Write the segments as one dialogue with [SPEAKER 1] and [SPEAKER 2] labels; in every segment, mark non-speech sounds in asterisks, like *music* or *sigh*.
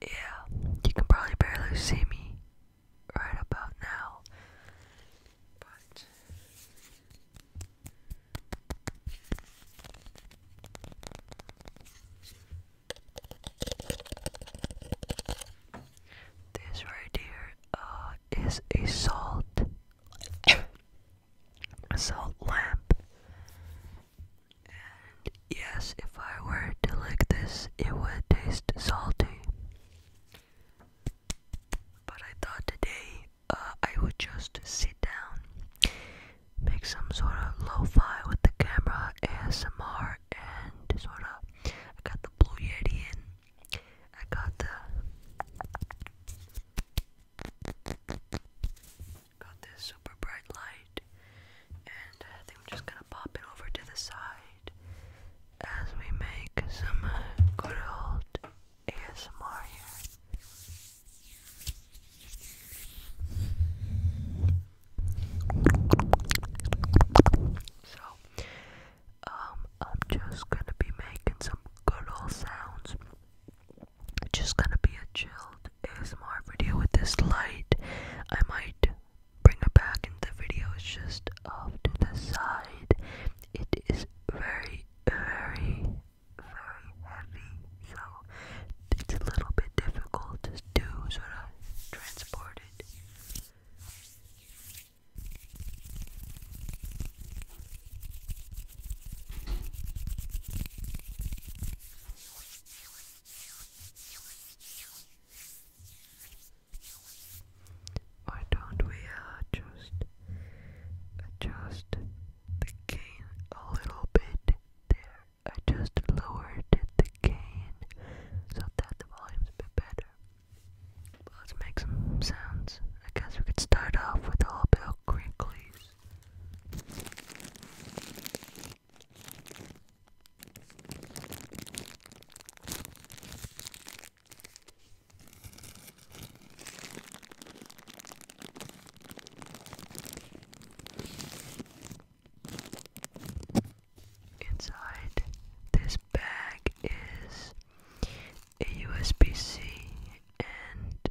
[SPEAKER 1] Yeah, you can probably barely see me right about now. this right here uh, a salt *coughs* salt lamp and yes, if I were to lick this, it would taste salty. But I thought today uh, I would just sit down, make some sort of lo fi with the camera, ASMR, and sort of. I got the Blue Yeti in, I got the. Got this super bright light, and I think I'm just gonna pop it over to the side as we make some good old ASMR here. So, um, I'm just gonna be making some good old sounds just gonna be a chilled ASMR video with this light. I might bring it back in the video, it's just off to the side. It is very, very, very heavy, so it's a little bit difficult to sort of transport it. Why don't we uh, adjust the gain a little bit there? I just lowered the gain so that the volume's a bit better. let's make some sounds. I guess we could start off with a little bit of crinklies. Inside this bag is a USB C and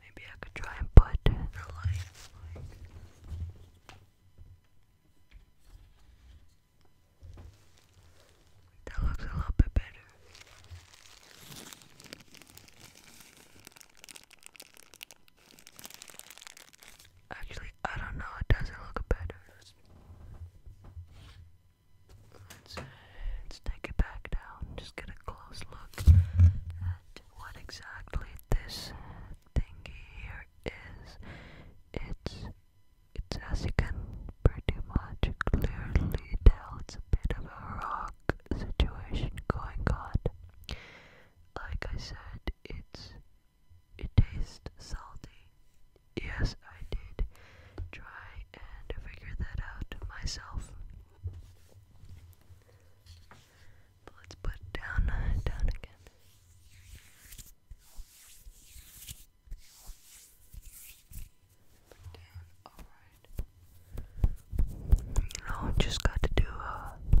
[SPEAKER 1] Maybe I could try and put that looks a little bit better. Actually, I don't know, it doesn't look better. Let's, take it back down. Just get a close look at what exactly this thingy here is. It's it's as you can pretty much clearly tell it's a bit of a rock situation going on. Like I said, it's it tastes salty. Yes, I did try and figure that out myself. So let's put down, uh, down again. alright. You know, I just got to do, a. Uh,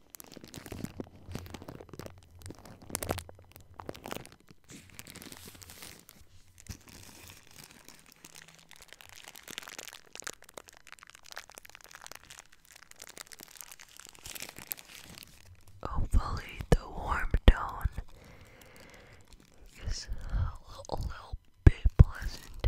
[SPEAKER 1] Hopefully, the warm tone is a little, bit pleasant.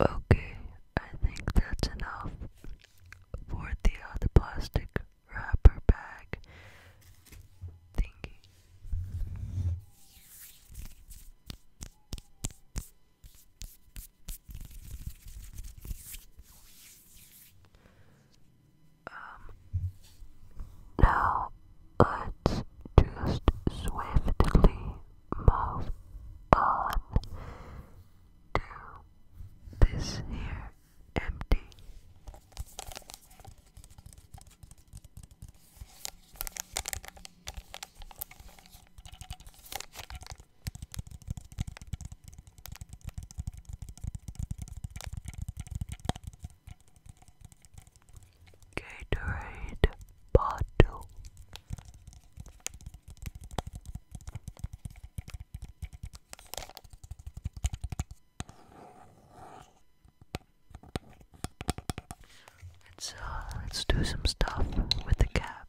[SPEAKER 1] Okay, I think that's enough for the plastic wrapper bag thingy. Um, now let's just swiftly move on to this here empty. Gatorade bottle. Let's uh, let's do some stuff with the cap.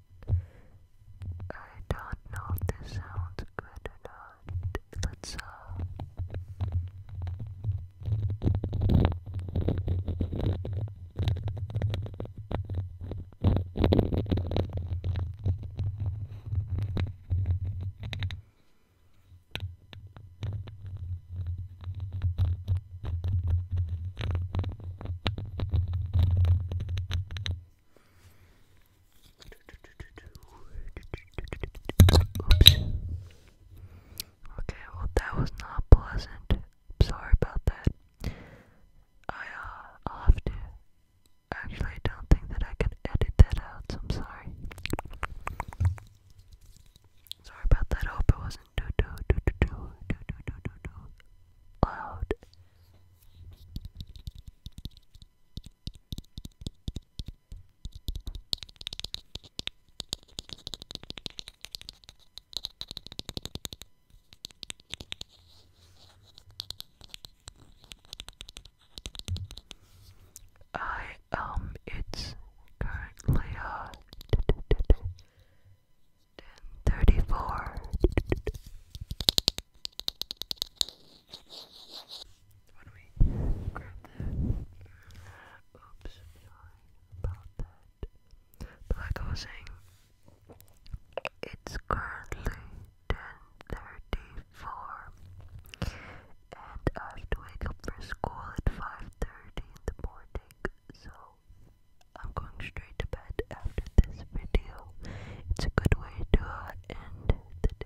[SPEAKER 1] I don't know if this sounds good or not. Let's uh Oops. Okay, well that was not pleasant. I'm sorry about that. I uh, I'll have to. Actually, I don't think that I can edit that out. So I'm sorry. Sorry about that. I hope it wasn't too too too too too too too too too loud. I um it's currently uh, 34. Oops, about that. But like I was saying, it's currently 10.34 and I have to wake up for school at 5.30 in the morning, so I'm going straight to bed after this video. It's a good way to uh, end the day.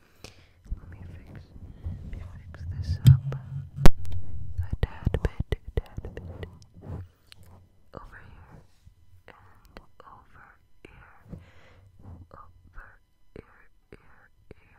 [SPEAKER 1] Let me fix, let me fix this up a tad bit, a tad bit. Over here and over here, over here, here, here, here.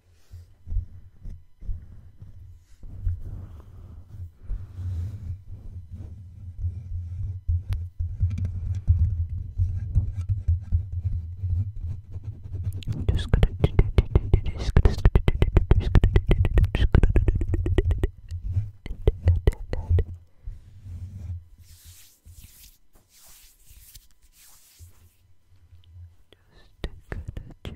[SPEAKER 1] Just gonna just gonna just gonna chill.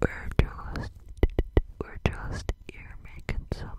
[SPEAKER 1] We're just, we're just here making some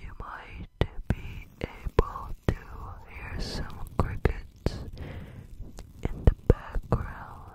[SPEAKER 1] You might be able to hear some crickets in the background.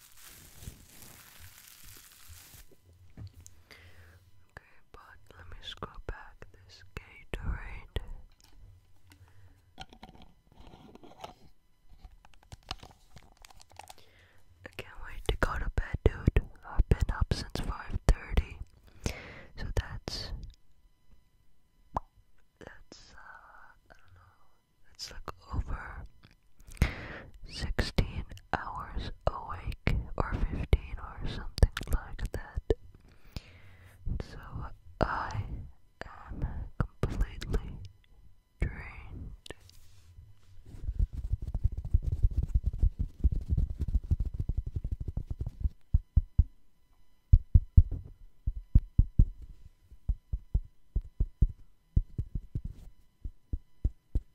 [SPEAKER 1] Okay, but let me scroll back this Gatorade. I can't wait to go to bed, dude. I've been up since 5:30, so that's that's uh Let's look over. 16 hours awake, or 15, or something like that. So I am completely drained. Base.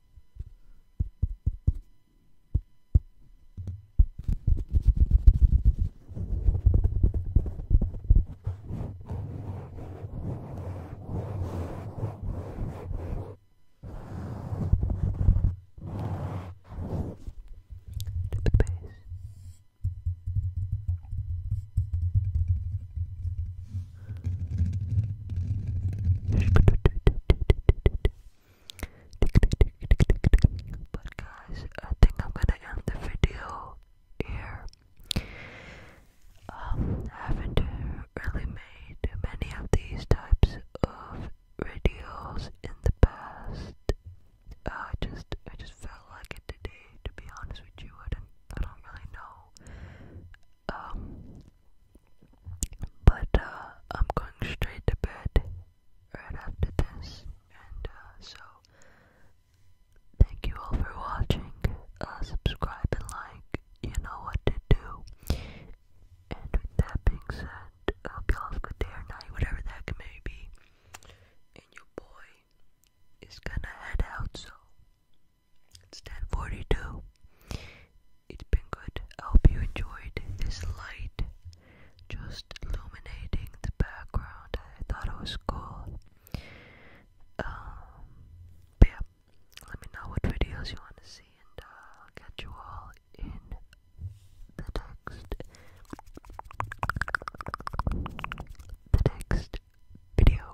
[SPEAKER 1] But guys, I think I'm gonna end the video here. Um, haven't really made many of these types of videos in the past. Uh, I just, I just felt like it today. To be honest with you, I don't really know. Um, but uh, I'm going straight to bed right after this, and uh, so thank you all for watching. Uh, subscribe and like. You know what to do. And with that being said, I hope y'all have a good day or night, whatever that can may be. And your boy is gonna head out, so it's 10:42. It's been good. I hope you enjoyed this light, just illuminating the background. I thought it was cool. Um, but let me know what videos you want to see, and uh, I'll get you all in the next, the next video.